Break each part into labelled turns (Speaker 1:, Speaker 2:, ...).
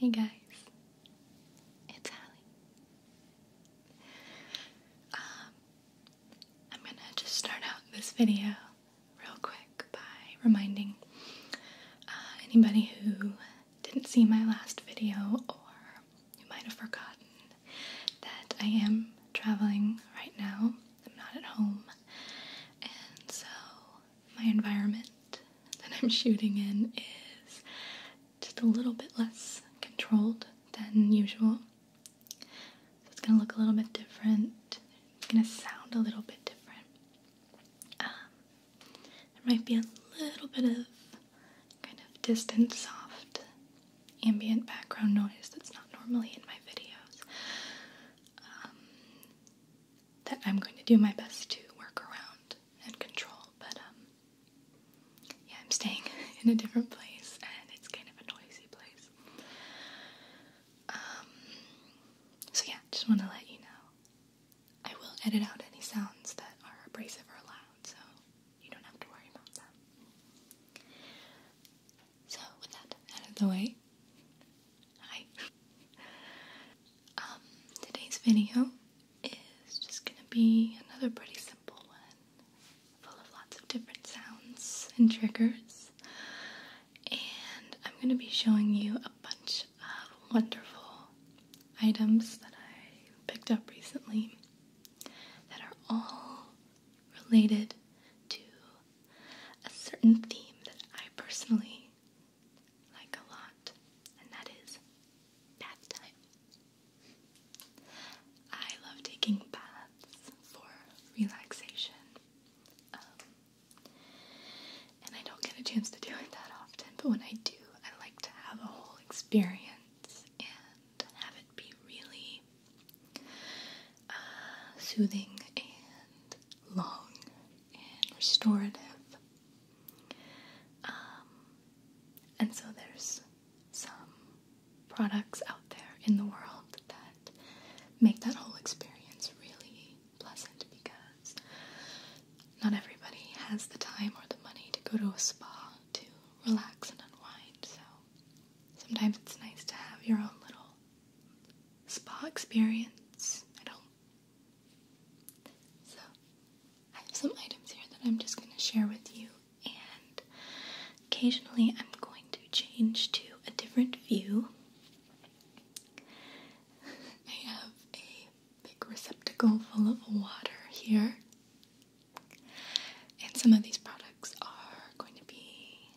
Speaker 1: Hey guys, it's Hallie. Um, I'm gonna just start out this video real quick by reminding uh, anybody who didn't see my last video or you might have forgotten that I am traveling right now. I'm not at home. And so my environment that I'm shooting in is just a little bit less controlled than usual. So it's gonna look a little bit different. It's gonna sound a little bit different. Um, there might be a little bit of kind of distant, soft, ambient background noise that's not normally in my videos um, that I'm going to do my best to work around and control. But um, yeah, I'm staying in a different place and it's kind of a noisy place. Um, so yeah, just want to let you know I will edit out any sounds that are abrasive or loud, so you don't have to worry about that. So, with that out of the way, hi. Um, today's video is just gonna be another pretty simple one, full of lots of different sounds and triggers, and I'm gonna be showing you a bunch uh, wonderful items that I picked up recently that are all related to a certain theme that I personally like a lot, and that is bath time. I love taking baths for relaxation. Um, and I don't get a chance to do it that often, but when I do, I like to have a whole experience and have it be really uh, soothing and long and restorative. Um, and so there's some products out there in the world that make that whole experience really pleasant because not everybody has the time or the money to go to a spa to relax and unwind, so sometimes it's nice to have your own little spa experience at home. So, I have some items here that I'm just going to share with you, and occasionally I'm going to change to a different view. I have a big receptacle full of water here. And some of these products are going to be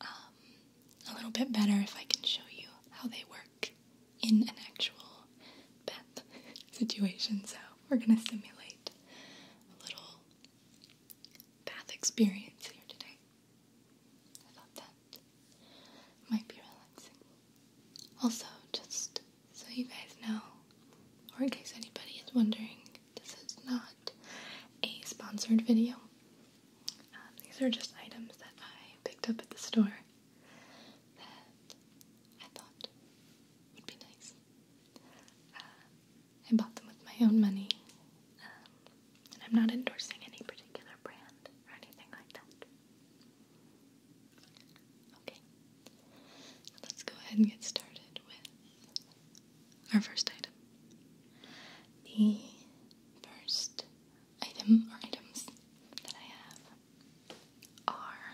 Speaker 1: um, a little bit better if I can show you how they work in an actual bath situation. So we're going to simulate a little bath experience here today. I thought that might be relaxing. Also, just so you guys know, or in case anybody is wondering, this is not a sponsored video. Um, these are just items that I picked up at the store that I thought would be nice. Uh, I bought them with my own money, um, and I'm not endorsing any particular brand or anything like that. Okay. Let's go ahead and get started with our first item. The first item or items that I have are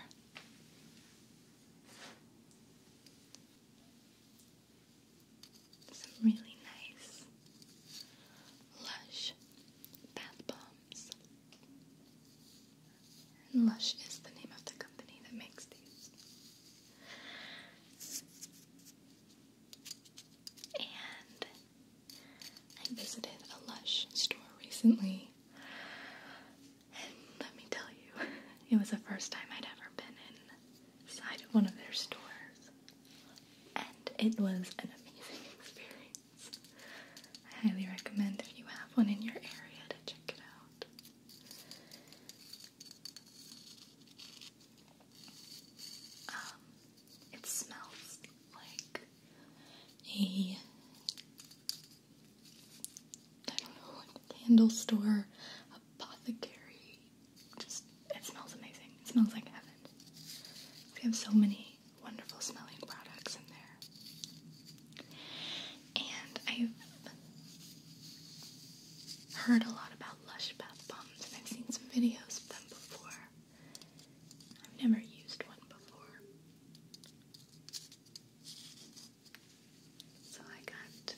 Speaker 1: some really nice lush bath bombs. And Lush is the name of the company that makes these. And I visited a Lush store recently. let me tell you, it was the first time I'd ever been inside of one of their stores. And it was an amazing experience. I highly recommend if you have one in your area to check it out. Um, it smells like a I don't know, candle store, apothecary. Just it smells amazing. It smells like heaven. We have so many wonderful smelling products in there. And I've heard a lot about Lush bath bombs and I've seen some videos of them before. I've never used one before. So I got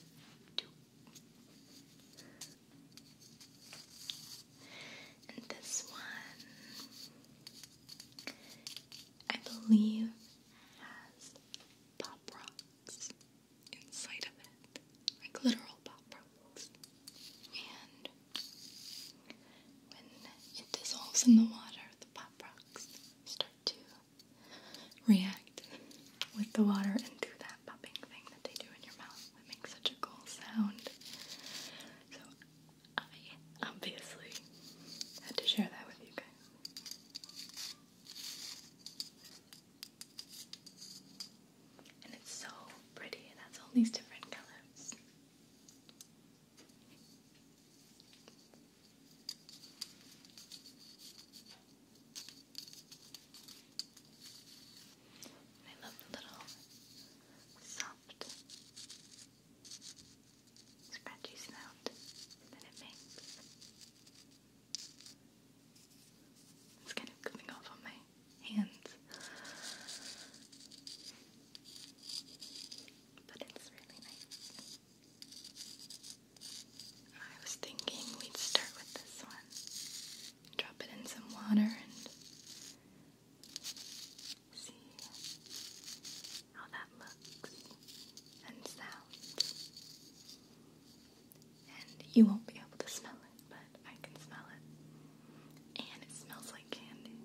Speaker 1: this one I believe has pop rocks inside of it, like literal pop rocks. And when it dissolves in the water, the pop rocks start to react with the water and do that popping thing that they do in your mouth that makes such a cool sound. So I obviously had to share that with you guys. And it's so pretty, and that's all these different colors. I love the little soft scratchy sound that it makes. It's kind of coming off on my hands. But it's really nice. I was thinking we'd start with this one. Drop it in some water and see how that looks and sounds. And you won't be able to smell it, but I can smell it. And it smells like candy.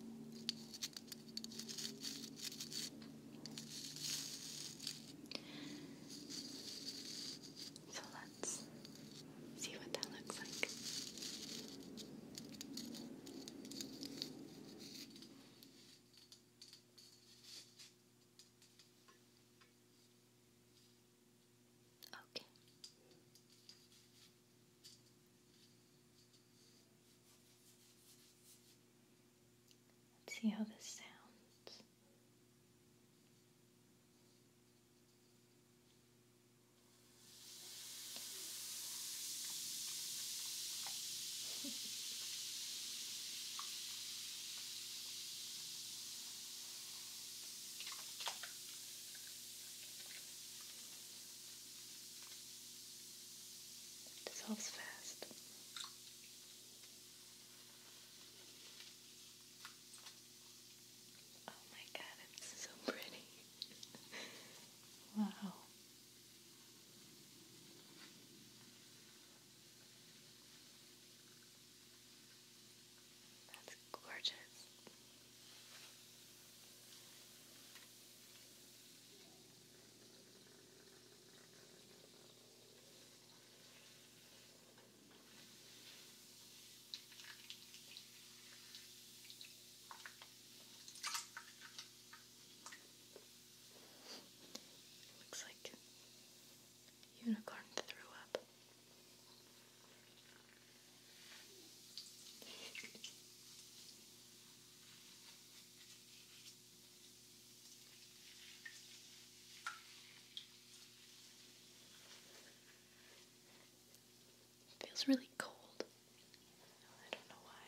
Speaker 1: So let's see what that looks like. Okay. Let's see how this sounds. dissolves fast. Oh my god, it's so pretty. wow. That's gorgeous. Looks like unicorn threw up. Feels really cold. I don't know why.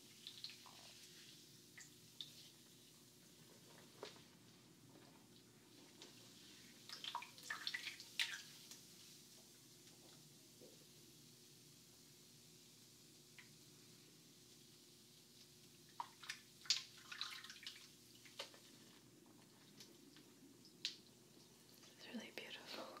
Speaker 1: It's really beautiful.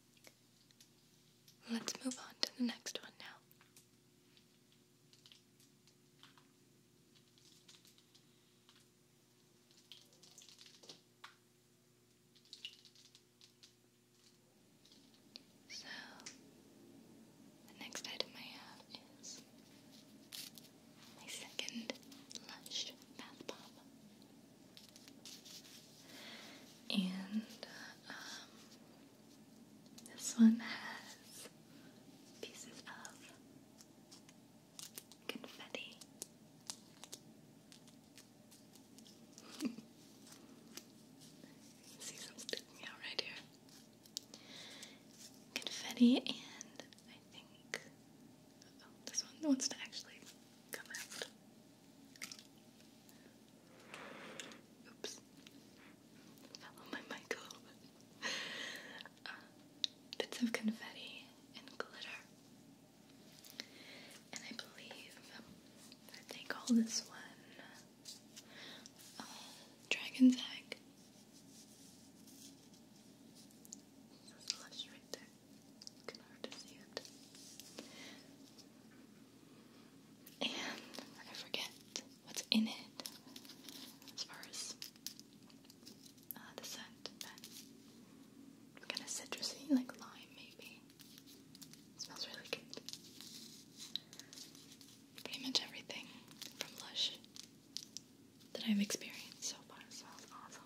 Speaker 1: Let's move on to the next one now. So, the next item I have is my second Lush bath bomb. And, um, this one has pieces of confetti. see some sticking out right here. Confetti and I think oh, this one wants to actually come out. Oops. Fell my mic a little bit. Uh, bits of confetti and glitter. And I believe I they all this one um, Dragon's Egg. There's a lush right there. You can hard to see it and I forget what's in it as far as uh, the scent, kind of citrusy, like lime maybe. smells really good. Pretty much everything from Lush that I've experienced so far smells awesome.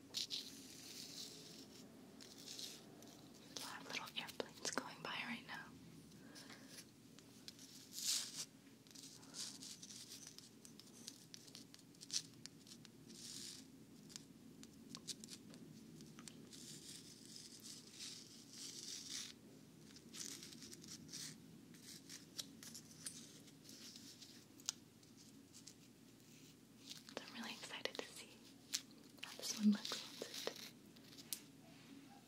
Speaker 1: A lot of little airplanes going by right now. I'm really excited to see how this one looks once it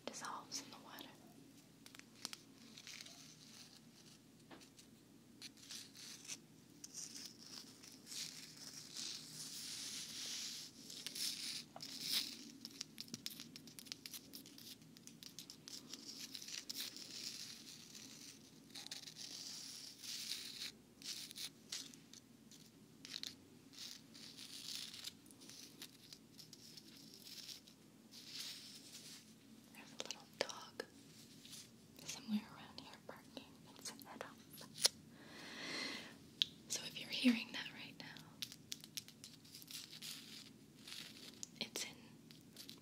Speaker 1: dissolves in the water. There's a little dog somewhere around here barking its head up. So if you're hearing that right now, it's in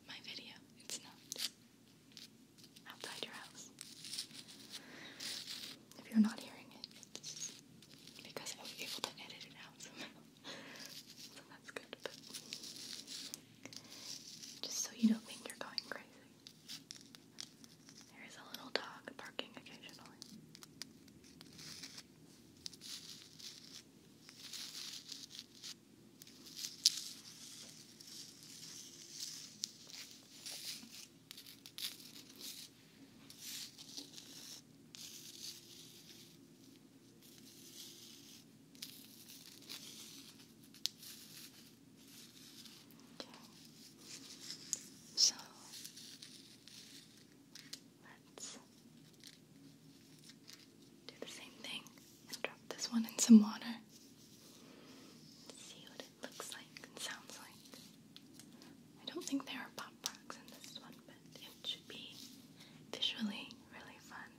Speaker 1: my video. It's not outside your house. If you're not hearing it, it's because I was able to edit it out somehow. so that's good, just so you don't think you're going crazy. There is a little dog barking occasionally. So let's do the same thing and drop this one in some water. see what looks like sounds like. I don't think there are pop rocks in this one, but it should be visually really fun.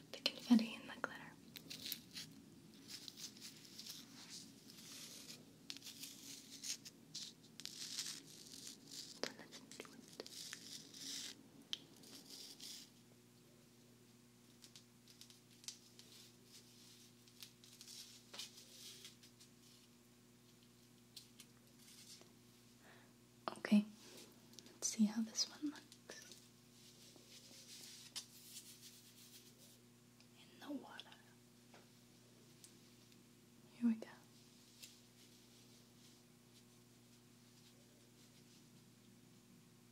Speaker 1: With the confetti and the glitter. let's do it. Okay, let's see how this one looks in the water. Here we go.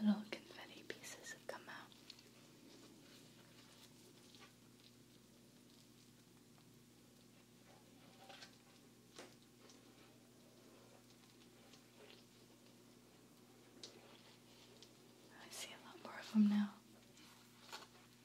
Speaker 1: little confetti pieces have come out. I see a lot more of them now.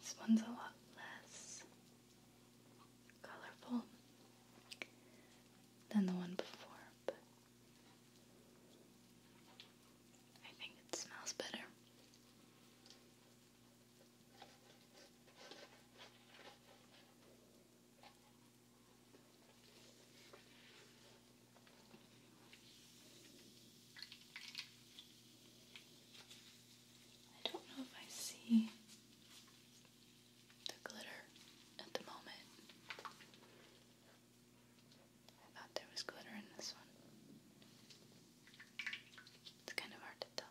Speaker 1: This one's a lot less colorful than the one before, but I think it smells better. I don't know if I see the glitter at the moment. I thought there was glitter in this one. It's kind of hard to tell.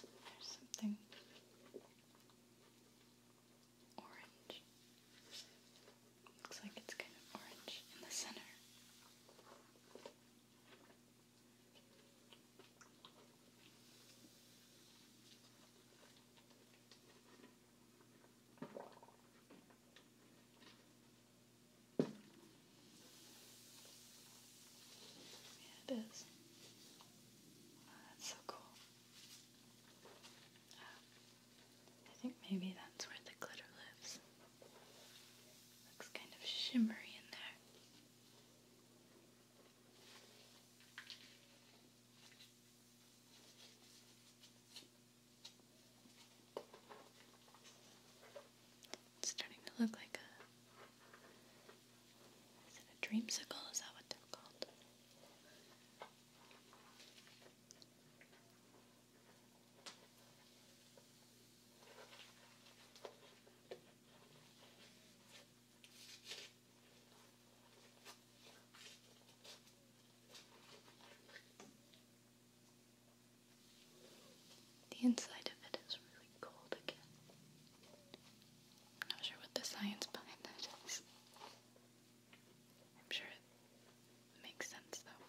Speaker 1: There's something orange. Looks like it's kind of orange in the center. Yeah, it is. that's so cool. I think maybe that's where the glitter lives. Looks kind of shimmery in there. It's starting to look like a. Is it a dreamsicle? Is that what they're called? The inside of it is really cold again. not sure what the science behind that is. I'm sure it makes sense though.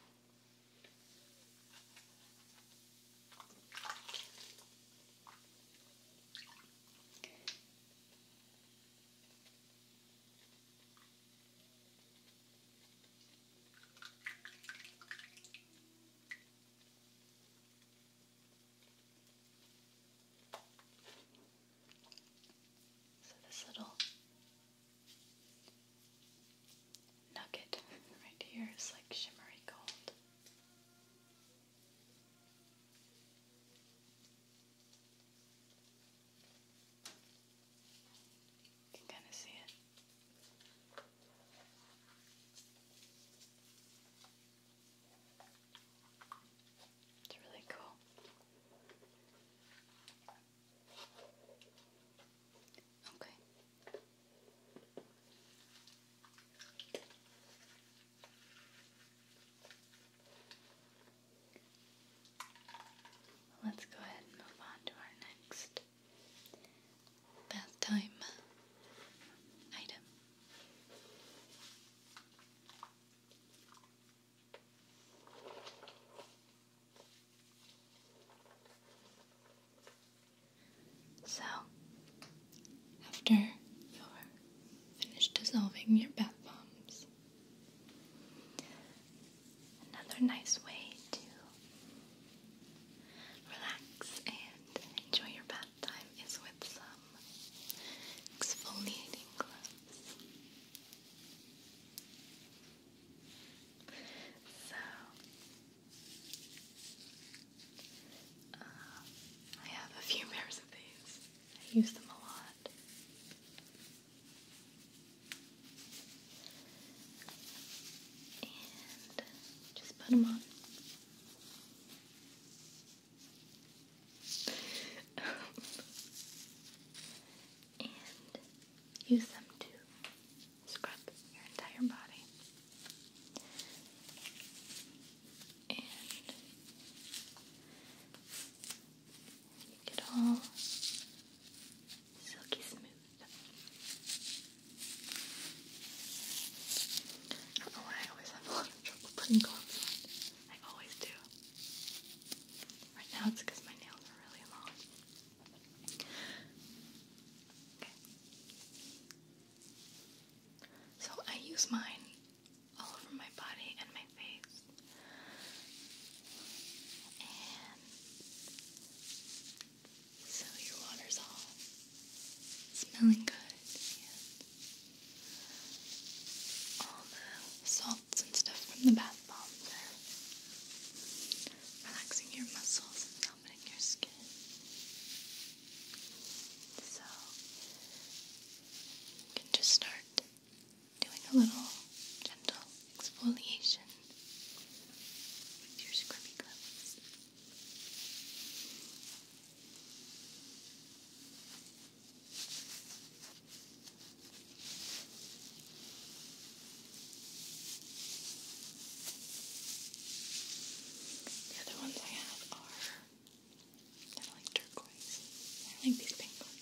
Speaker 1: So this little nugget right here is like shimmery gold. You can kind of see it. It's really cool. Okay. Let's go ahead and move on to our next bath time item. So, after you're finished dissolving your bath bombs, another nice way to Relax and enjoy your bath time is with some exfoliating gloves. So, uh, I have a few pairs of these. I use them a lot and just put them on. and use them to scrub your entire body. And you get all silky smooth. I don't know why I always have a lot of trouble putting gloves on. I always do. Right now it's because my nails are really long. Okay. So I use mine all over my body and my face. So your water's all smelling good all the salts and stuff from the bath bombs are relaxing your muscles and softening your skin. So you can just start doing a little gentle exfoliation with your scrubby gloves. The other ones I have are kind of like turquoise. I like these pink ones.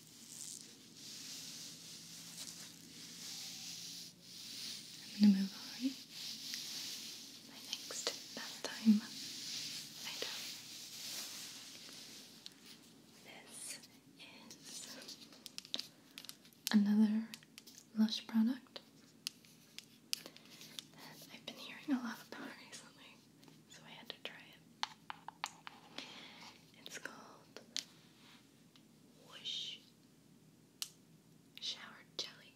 Speaker 1: I'm going to move on. My next bedtime item. This is another Lush product I've been hearing a lot about recently so I had to try it. It's called Whoosh Shower Jelly,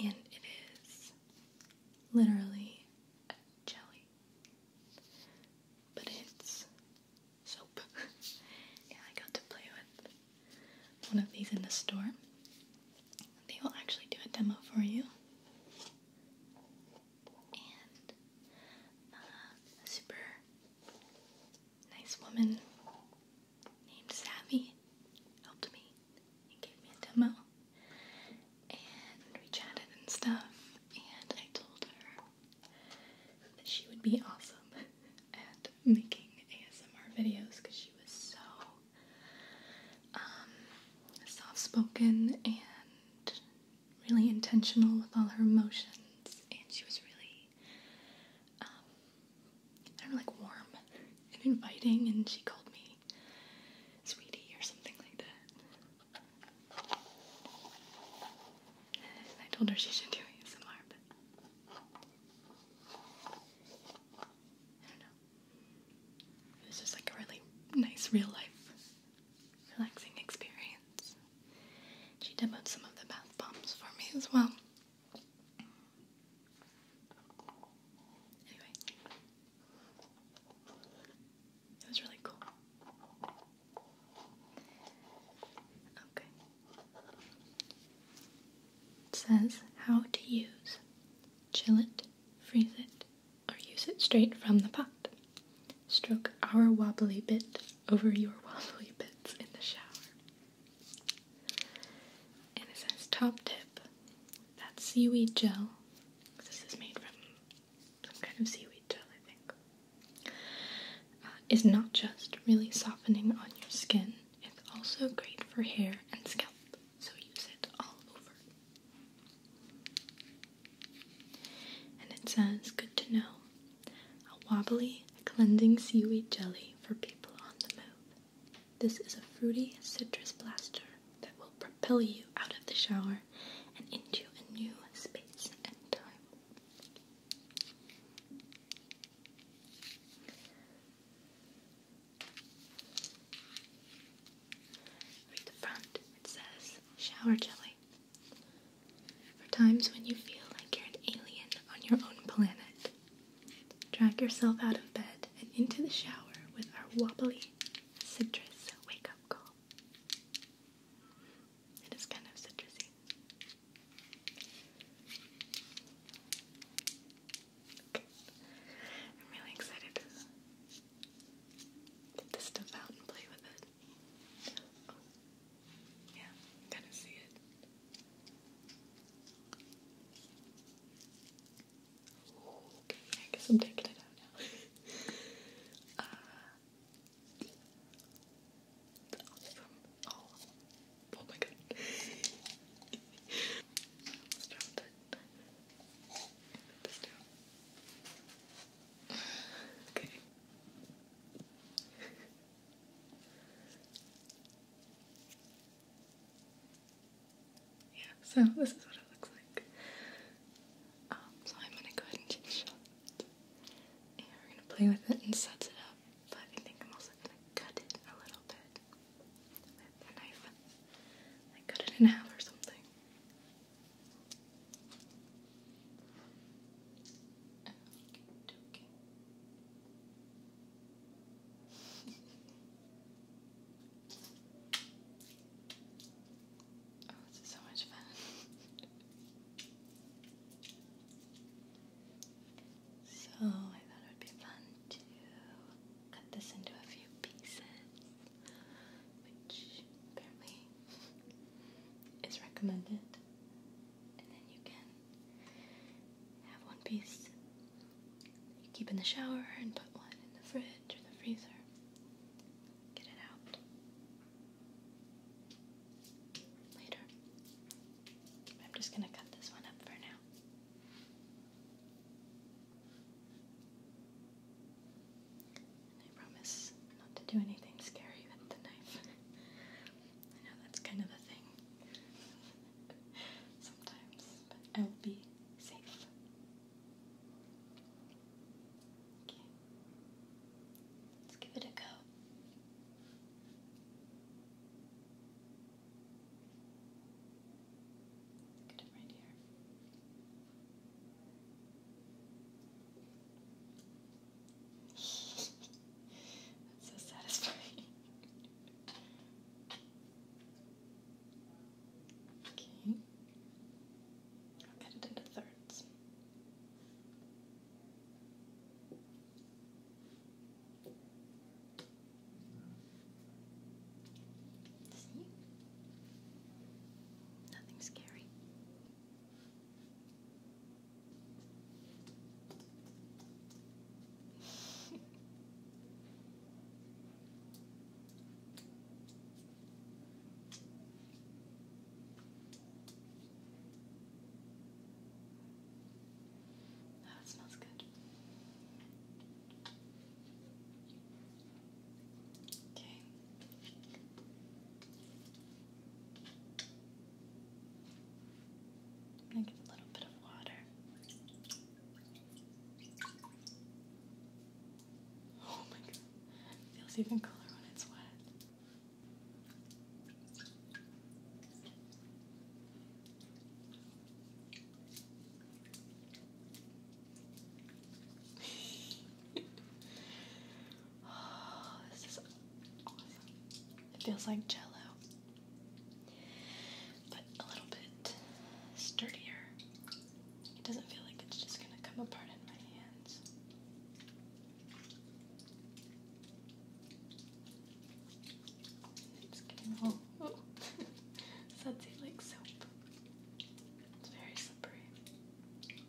Speaker 1: and it is literally a jelly, but it's soap. yeah, I got to play with one of these in the store. They will actually do a demo for you and uh, a super nice woman named Savvy helped me and gave me a demo. And we chatted and stuff, and I told her that she would be awesome at making ASMR videos because she was so um, soft spoken and really intentional with all her emotions, and she was really, um, like warm and inviting, and she called me sweetie or something like that. I told her she should do ASMR, but I don't know. It was just like a really nice real life relaxing experience. She demoed some of the bath bombs for me as well. Anyway, it was really cool. Okay. says how to use chill it, freeze it, or use it straight from the pot. Stroke our wobbly bit over your wobbly bits in the shower. And it says top tip that seaweed gel. This is made from some kind of seaweed gel, I think. Uh, is not just really softening on your skin, it's also great for hair and scalp. So use it all over and it says, good to know, a wobbly, cleansing seaweed jelly for people on the move. This is a fruity citrus blaster that will propel you out of the shower and into a new space and time. Read the front. It says shower jelly. For times when you feel like you're an alien on your own planet, drag yourself out of bed and into the shower with our wobbly citrus wake up call. It is kind of citrusy. I'm really excited to get this stuff out and play with it. Yeah, I'm see it. Okay, I guess I'm taking it out now. Uh, oh, oh, my god. okay. yeah, so this is what it looks like. Um, so I'm gonna go ahead and take a we're gonna play with it and set it up, but I think I'm also gonna cut it a little bit with a knife. Like cut it in half or something. oh, this is so much fun. so I thought it would be fun to cut this into a few pieces which apparently is recommended. And then you can have one piece keep in the shower and put one in the fridge or the freezer. Get it out later. I'm just going to cut this one up for now. I promise not to do anything scary with the knife. I know that's kind of a thing sometimes, but I'll be safe. Let's give it a go. Get it that's so satisfying. okay. I'll cut it into thirds. Nothing scary. That smells good. Okay. I'm going a little bit of water. Oh my god, feels even cooler when it's wet. this is awesome. It feels like jello, but a little bit sturdier. It doesn't feel like it's just going to come apart in my hands. It's getting all oh, oh. sudsy like soap. It's very slippery.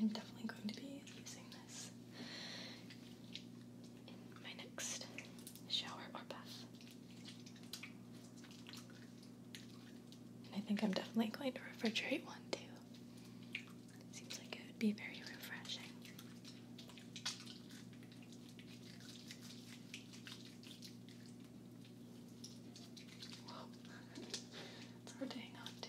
Speaker 1: I'm definitely going to be using this in my next shower or bath. I think I'm definitely going to refrigerate one too. Seems like it would be very refreshing. Whoa, it's hard on to.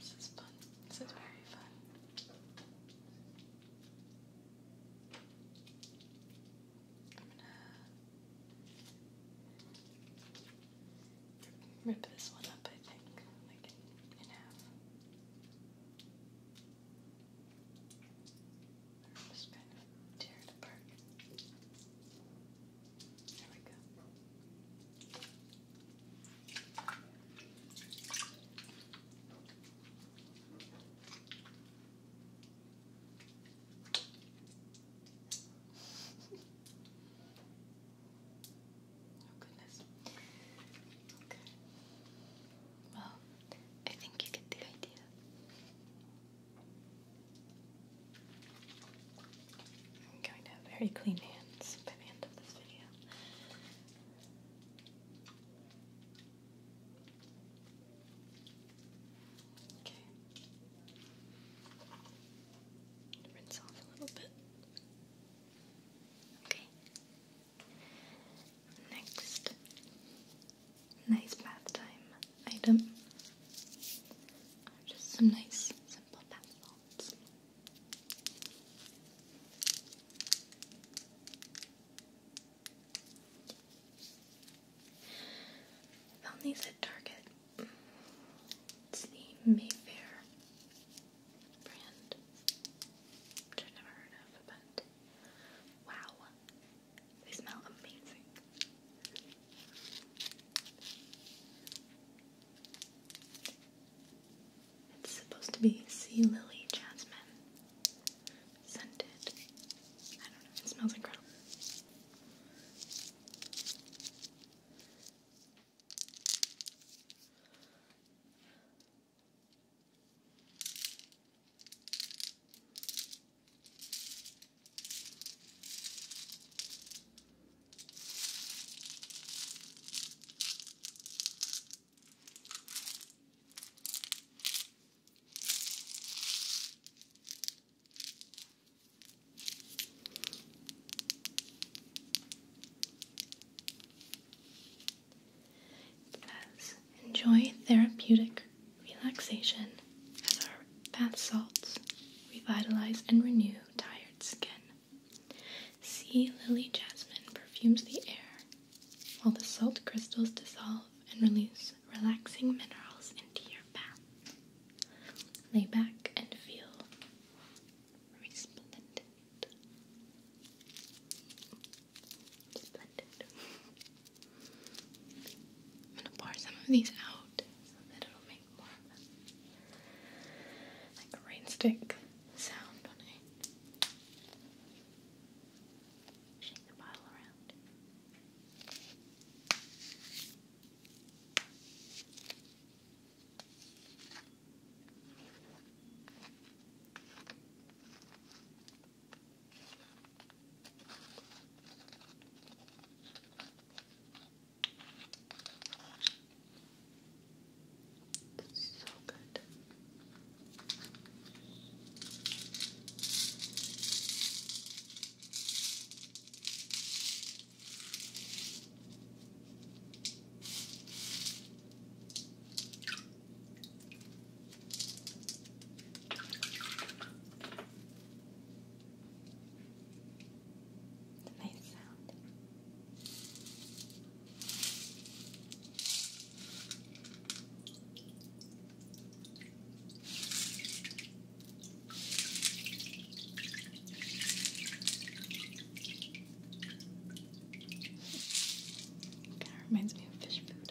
Speaker 1: this is fun. This is very fun. I'm gonna rip this one up, I think, like in, just kind of tear it apart. There we go goodness. Well, I think you get the idea. I'm going to have very clean hands by the end of this video. Okay. Rinse off a little bit. Okay. Next, nice bath time item. Just some nice simple bath salts found these at Target. It's the Mayfair brand, I've never heard of, but wow, they smell amazing. It's supposed to be sea lily jasmine scented. I don't know, it smells incredible enjoy therapeutic relaxation as our bath salts revitalize and renew tired skin. Sea lily jasmine perfumes the air while the salt crystals dissolve and release relaxing minerals into your bath. Lay back and feel I'm going to pour some of these out so that it'll make more like a rainstick sound on it. Shake the bottle around. It's so good. It's a nice sound. Kind of reminds me of fish food.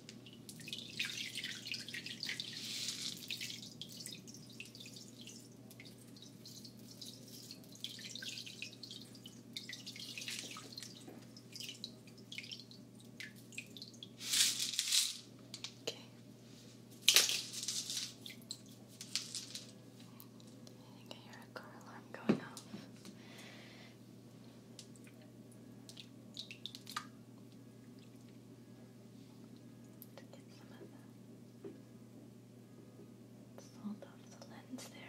Speaker 1: Okay. I think I hear a car alarm going off to get some of the salt off the lens there.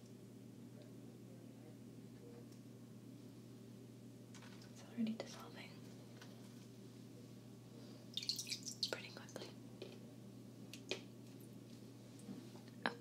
Speaker 1: It's already dissolving pretty quickly. Okay.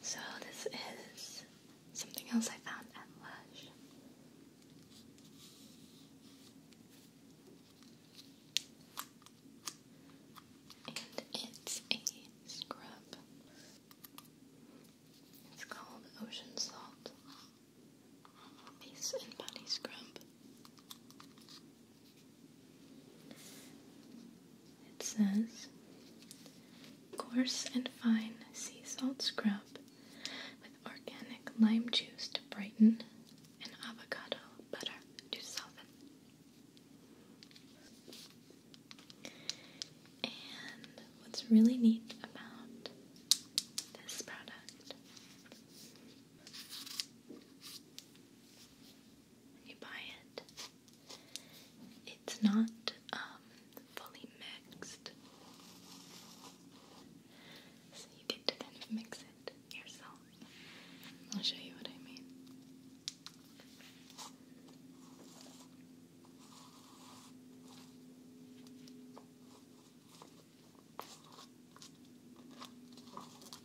Speaker 1: So this is something else I found at Lush. And it's a scrub. It's called Ocean Salt Face and Body Scrub. It says coarse and fine sea salt scrub with organic lime juice to brighten and avocado butter to soften. And what's really neat about this product you buy it. It's not um, fully mixed, so you get to kind of mix it yourself. I'll show you what I mean.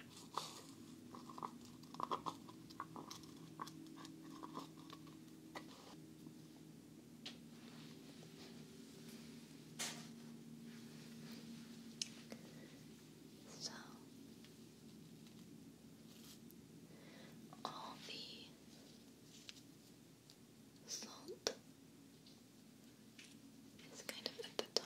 Speaker 1: So all the salt is kind of at the top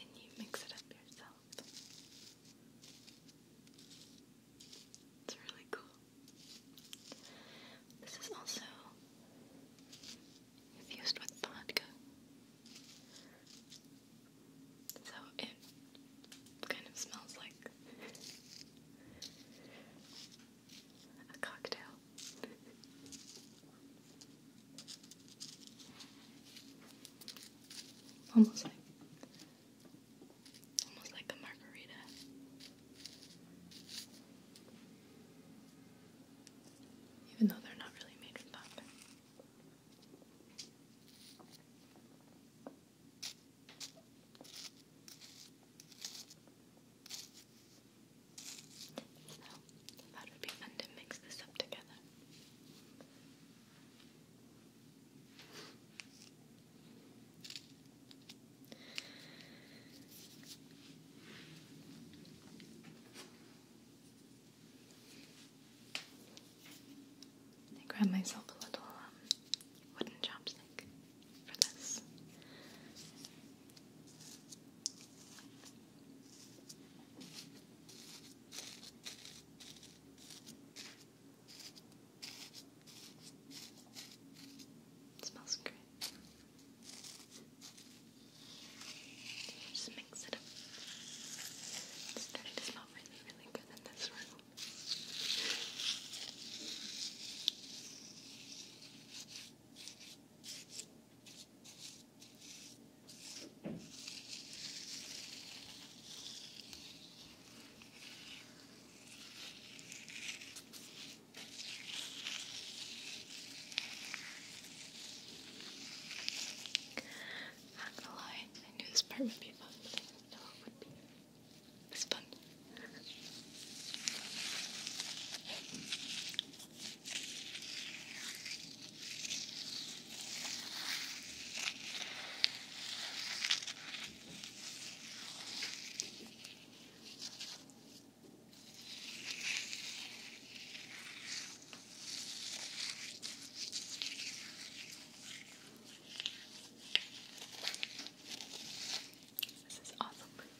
Speaker 1: and you mix it up yourself. It's really cool. This is also infused with vodka. So it kind of smells like a cocktail. Almost like almost like a margarita. Even though they're not really made with pop. I thought it would be fun to mix this up together. I grabbed myself a little um, wooden chopstick for this. smells great. Just mix it up. It's starting really, really good in this room. Not gonna lie, I knew this part would be fun, but I it would be this fun. This is awesome.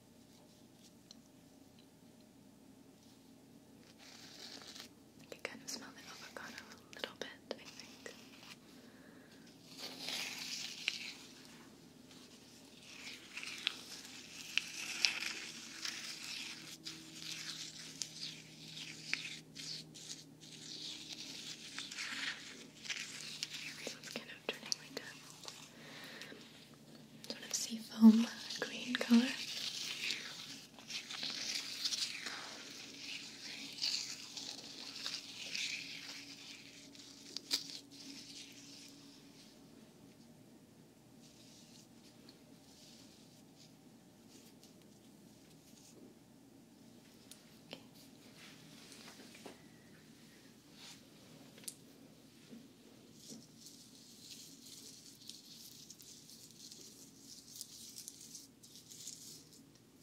Speaker 1: I can kind of smell the avocado a little bit, I think. it's kind of turning my sort of foam green color. Okay.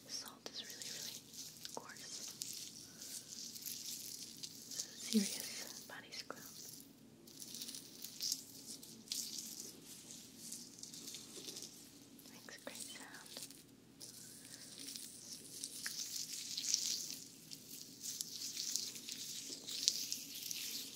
Speaker 1: The salt is really, really coarse. serious body scrub. Makes a great sound.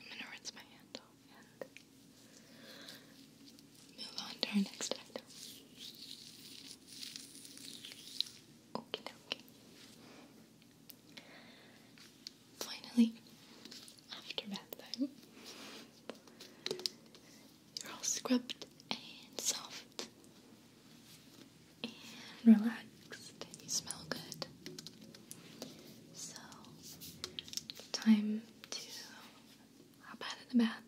Speaker 1: I'm gonna rinse my hand and move on to our next item. Okie dokie. Finally, after bath time, you're all scrubbed and soft and relax. and you smell good. So, time to hop out of the bath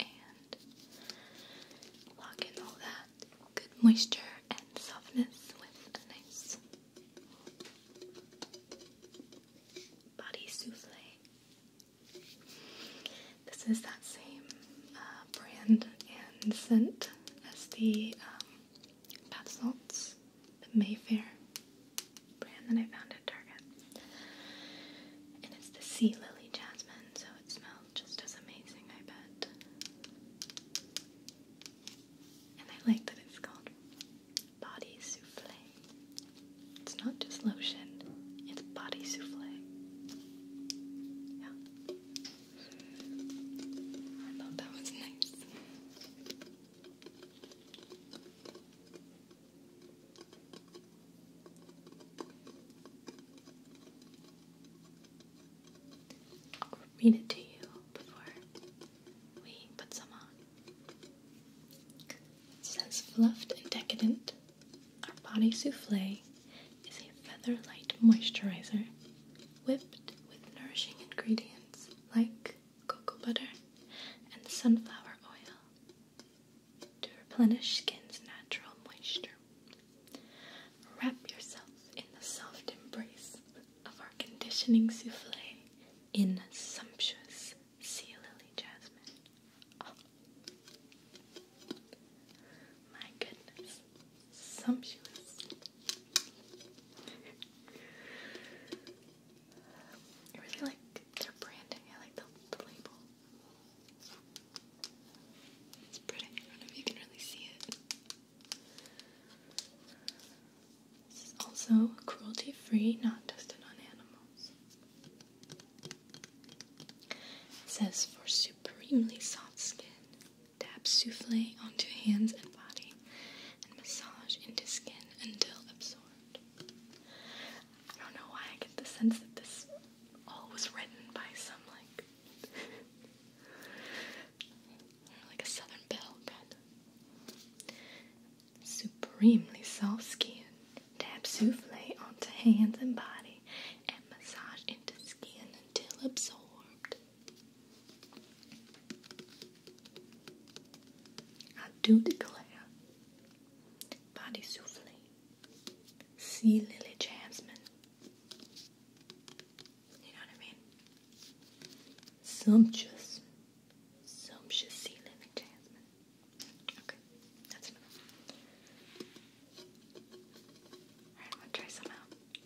Speaker 1: and lock in all that good moisture and softness with a nice body souffle. This is that same uh, brand and scent as the um, bath salts, the Mayfair brand that I found at Target. And it's the sea lily jasmine, so it smells just as amazing, I bet. And I like that it's called Body Souffle. It's not just lotion, it's body souffle. Yeah. I thought that was nice. I'll read it to you before we put some on. It says fluffed and decadent, our Body Souffle is a feather light moisturizer whipped with nourishing ingredients like cocoa butter and sunflower oil to replenish skin's natural moisture. Wrap yourself in the soft embrace of our conditioning souffle in sumptuous sea lily jasmine. Oh. My goodness, Sumptuous. I really like their branding. I like the, label. It's pretty. I don't know if you can really see it. This is also cruelty free, not tested on animals. It says for supremely soft skin, Tap souffle onto hands and body and massage into skin until absorbed. I don't know why I get the sense that this all was written by some like like a southern belle Supremely soft skin. Tap souffle onto hands and body and massage into skin until absorbed. I do declare, body souffle, See lily jasmine. You know what I mean? Sumptuous, sumptuous sea lily jasmine. Okay, that's enough. Alright, I'm gonna try some out.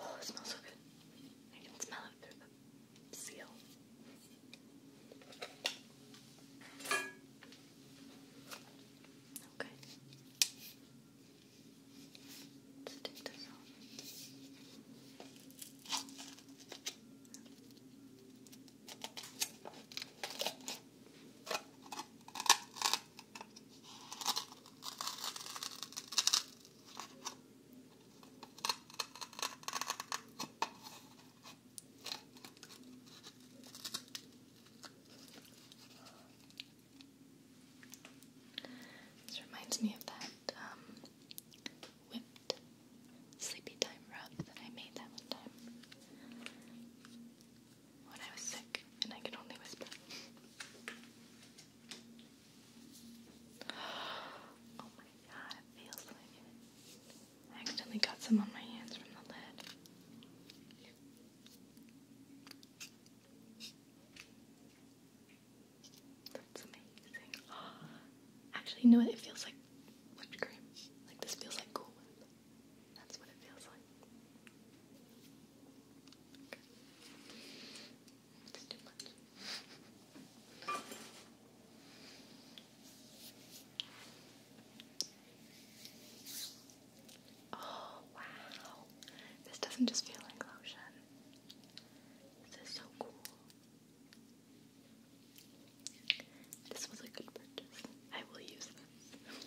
Speaker 1: Oh, it smells so good. I can smell it through the seal. Okay. let this off. This reminds me of that um, whipped sleepy time rub that I made that one time when I was sick and I could only whisper.
Speaker 2: Oh my god, it feels like I accidentally got some
Speaker 1: on my hands from the lid. That's amazing. actually, you know what? It feels like whipped cream. Like this feels like Cool That's what it feels like. Oh, wow. This doesn't just feel like lotion. This is so cool. This was a good purchase. I will use this.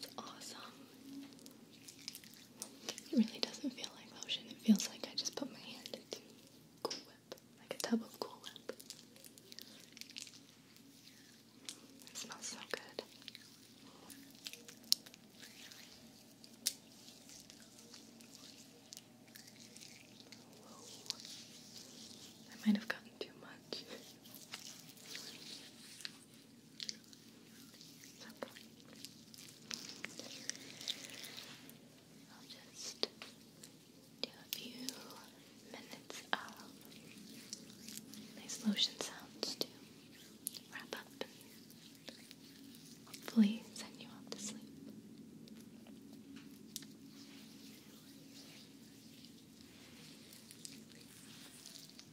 Speaker 1: It's awesome. It really doesn't feel like lotion. It feels like I just put my hand into Cool Whip, like a tub of Cool Whip. It smells so good. I might have gotten too much. Lovely. I'll just do a few minutes of nice um, lotion sounds to wrap up and hopefully send you off to sleep.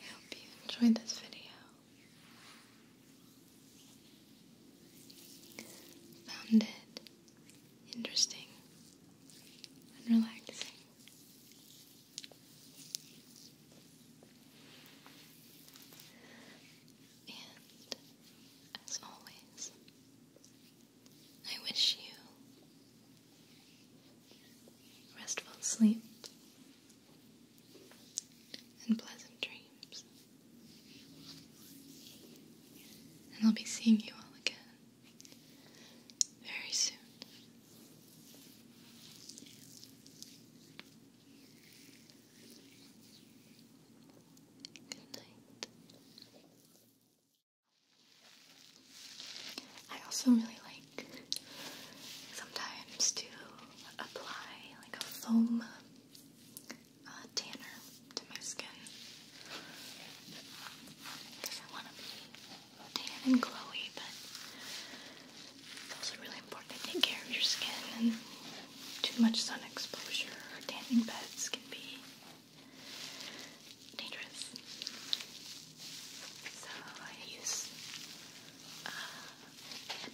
Speaker 1: I hope you enjoyed this video. Found it interesting and relaxing. And as always, I wish you restful sleep, and pleasant dreams. And I'll be seeing you all again very soon. Good night. I also really like sometimes to apply like a foam uh, tanner to my skin because I want to be tan and glowy, but it's also really important to take care of your skin and too much sun exposure or tanning beds can be dangerous. So I use uh,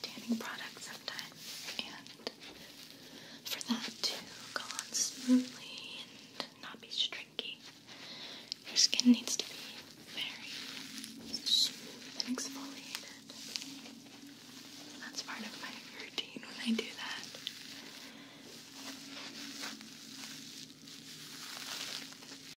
Speaker 1: tanning product sometimes, and for that to go on smoothly and not be stringy, your skin needs to be very smooth and exfoliated. That's part of my routine when I do that.